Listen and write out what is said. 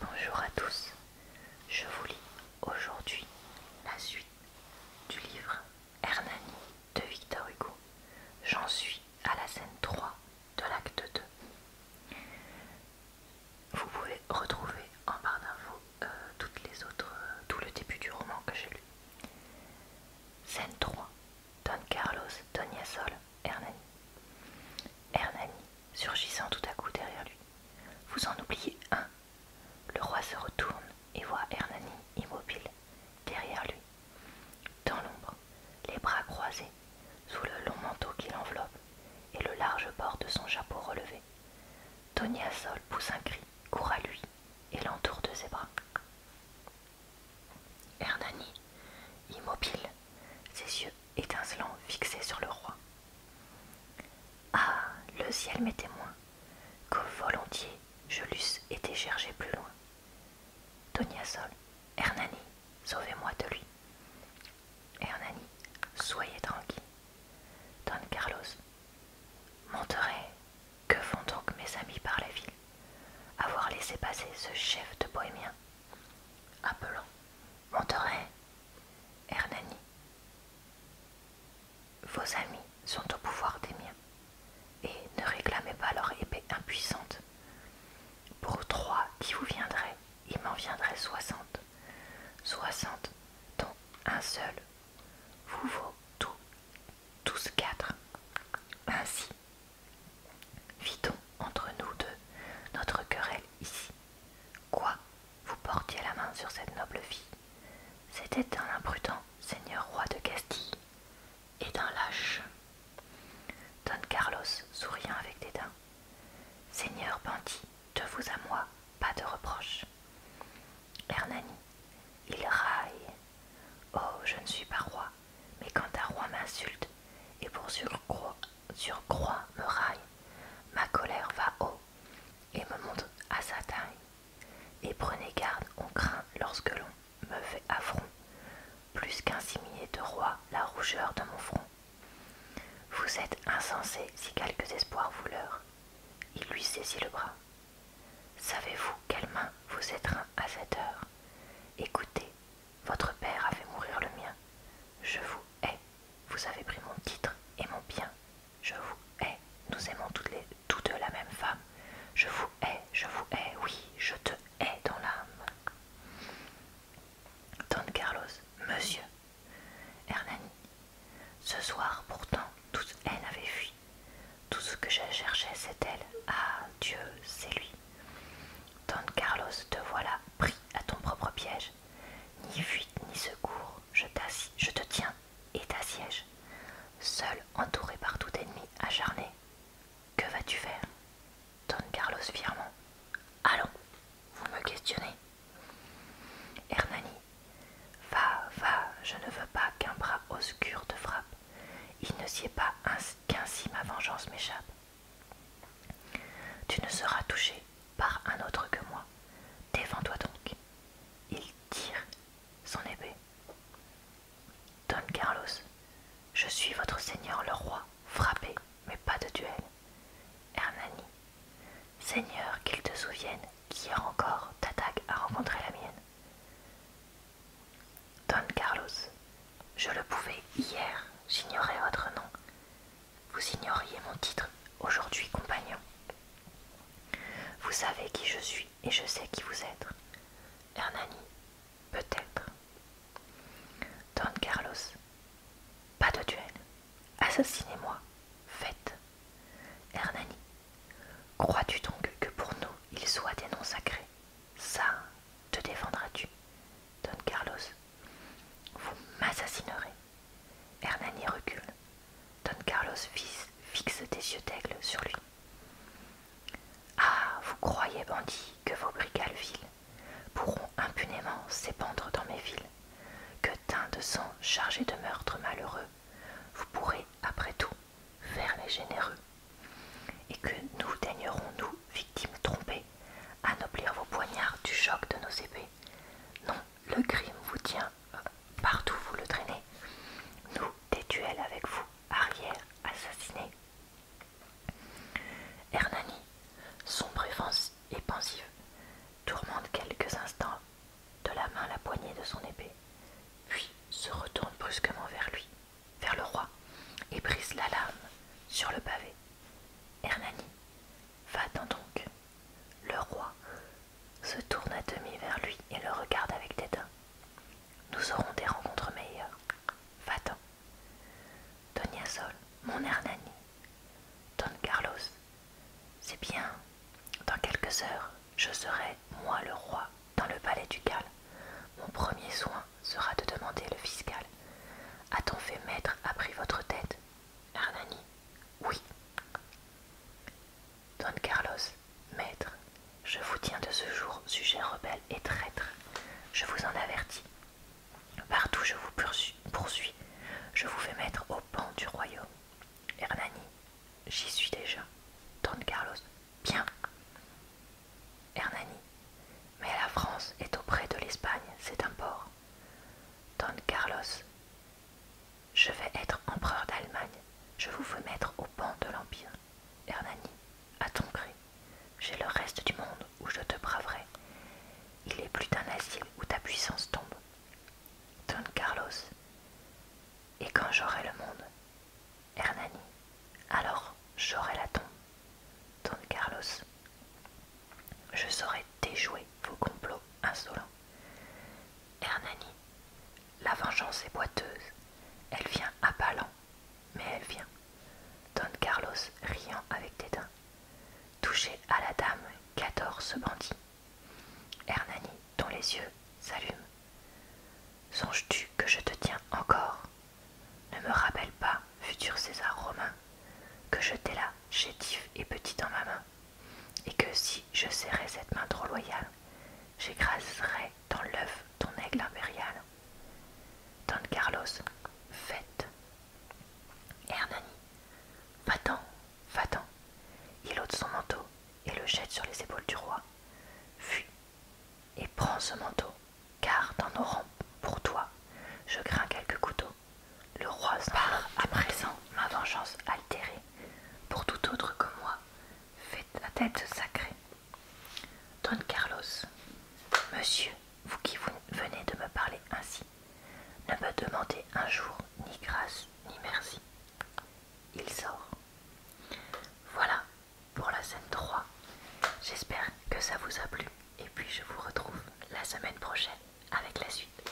Bonjour à tous, je vous lis aujourd'hui la suite du livre Hernani de Victor Hugo. J'en suis à la scène 3 de l'acte 2. Vous pouvez retrouver en barre d'infos euh, toutes les autres, euh, tout le début du roman que j'ai lu. Scène 3. Don Carlos Yassol. Hernani. Hernani, surgissant tout à coup derrière lui. Vous en oubliez un. Le roi se retourne et voit Hernani immobile, derrière lui, dans l'ombre, les bras croisés, sous le long manteau qui l'enveloppe et le large bord de son chapeau relevé. Tony Sol pousse un cri, court à lui et l'entoure de ses bras. Hernani, immobile, ses yeux étincelants fixés sur le roi. Ah, le ciel m'est témoin, que volontiers je l'eusse été cherché plus loin. Donia Sol, Hernani, sauvez-moi de lui. Hernani, soyez tranquille. Don Carlos, monterai, que font donc mes amis par la ville avoir laissé passer ce chef de bohémiens, appelant Monterey, Hernani. Vos amis sont au pouvoir des miens, et ne réclamez pas leur épée impuissante. Pour trois qui vous viendraient, il m'en viendrait soixante, soixante dont un seul vous vaut tous, tous quatre. Ainsi, Vidons entre nous deux notre querelle ici. Quoi Vous portiez la main sur cette noble fille C'était un imprudent seigneur roi de Castille et d'un lâche. Don Carlos souriant avec dédain. Seigneur bandit, de vous à moi, pas de reproche. Hernani, il raille. Oh, je ne suis pas roi, mais quand un roi m'insulte et pour surcroît, surcroît me raille, ma colère va haut et me monte à sa taille. Et prenez garde, on craint lorsque l'on me fait affront, plus qu'insigné de roi la rougeur de mon front. Vous êtes insensé si quelques espoirs vous leurrent. Il lui saisit le bras. Savez-vous quelle main vous étreint à cette heure Écoutez, votre père a fait mourir le mien. Je vous hais, vous avez pris mon titre et mon bien. Je vous hais, nous aimons toutes, les, deux la même femme. Je vous hais, je vous hais, oui, je te hais dans l'âme. Don Carlos, monsieur. Hernani, ce soir pourtant, toute haine avait fui. Tout ce que je cherchais, c'est elle. Ah, Dieu, c'est lui. Don Carlos, te voilà pris à ton propre piège. Ni fuite, ni secours, je, je te tiens et t'assiège. Seul, entouré par tout ennemi acharné. Que vas-tu faire Don Carlos fièrement. Allons, vous me questionnez. Hernani Va, va, je ne veux pas qu'un bras obscur te frappe. Il ne s'y est pas qu'ainsi ma vengeance m'échappe. Tu ne seras touché par un autre que moi. Défends-toi donc. Il tire son épée. Don Carlos, je suis votre seigneur le roi. Frappé, mais pas de duel. Hernani, Seigneur, qu'il te souvienne qu'hier encore t'attaque à rencontrer la mienne. Don Carlos, je le pouvais hier, j'ignorais votre nom. Vous ignoriez mon titre, aujourd'hui compagnon. Vous savez qui je suis et je sais qui vous êtes. Hernani, peut-être. Don Carlos, pas de duel. Assassinez-moi, faites. Hernani, crois-tu donc que pour nous il soit des noms sacrés Ça, te défendras-tu Don Carlos, vous m'assassinerez. Hernani recule. Don Carlos fixe, des yeux d'aigle sur lui. Ah, vous croyez, bandit, que vos brigades pourront impunément s'épandre dans mes villes. Que teint de sang chargé de meurtres malheureux, vous pourrez, après tout, faire les généreux. Et que nous daignerons, nous, victimes trompées, anoblir vos poignards du choc de nos épées. Non, le crime vous tient, euh, partout vous le traînez. Nous, des duels avec vous, arrière, assassinés. Hernani, sombre et pensif, tourmente quelques instants de la main la poignée de son épée, puis se retourne brusquement vers lui, vers le roi, et brise la lame sur le pavé. Hernani, va-t'en donc. Le roi se tourne à demi vers lui et le regarde avec dédain. Nous aurons des rencontres meilleures. Va-t'en. Donia Sol, mon Hernani. Don Carlos, c'est bien. Dans quelques heures, je serai, moi le roi, dans le palais ducal. Mon premier soin sera de demander le fiscal. A-t-on fait maître après votre tête Hernani, oui. Don Carlos, maître, je vous tiens de ce jour, sujet rebelle et traître. Je vous en avertis. Partout je vous poursuis, je vous fais mettre au banc du royaume. Hernani, j'y suis déjà. Don Carlos, bien. Hernani, mais la France est auprès de l'Espagne, c'est un port. Don Carlos, je vais être empereur d'Allemagne. Je vous fais mettre au banc de l'Empire. Hernani, à ton cri, j'ai le reste du monde où je te braverai. Il est plus d'un asile où ta puissance tombe. Don Carlos, et quand j'aurai le monde, Hernani, alors j'aurai la tombe. Don Carlos, je saurai déjouer vos complots insolents. Hernani, la vengeance est boiteuse. Elle vient à pas lents, mais elle vient. Don Carlos riant avec dédain. Touché à la dame qu'adore ce bandit. Hernani, dont les yeux s'allument. Songes-tu que je te tiens encore Ne me rappelle pas, futur César romain, que je t'ai là, chétif et petit dans ma main, et que si je serrais cette main trop loyale, j'écraserai dans l'œuf ton aigle impérial. Don Carlos, fête. Hernani, va-t'en, va-t'en. Il ôte son manteau et le jette sur les épaules du roi. Fuis et prends ce manteau, car dans nos rangs, pour toi, je crains quelques couteaux. Le roi part à présent ma vengeance altérée pour tout autre que moi, Faites la tête sacrée. Don Carlos, monsieur, vous qui venez de me parler ainsi, ne me demandez un jour ni grâce ni merci. Il sort. Voilà pour la scène 3. J'espère que ça vous a plu et puis je vous retrouve la semaine prochaine avec la suite.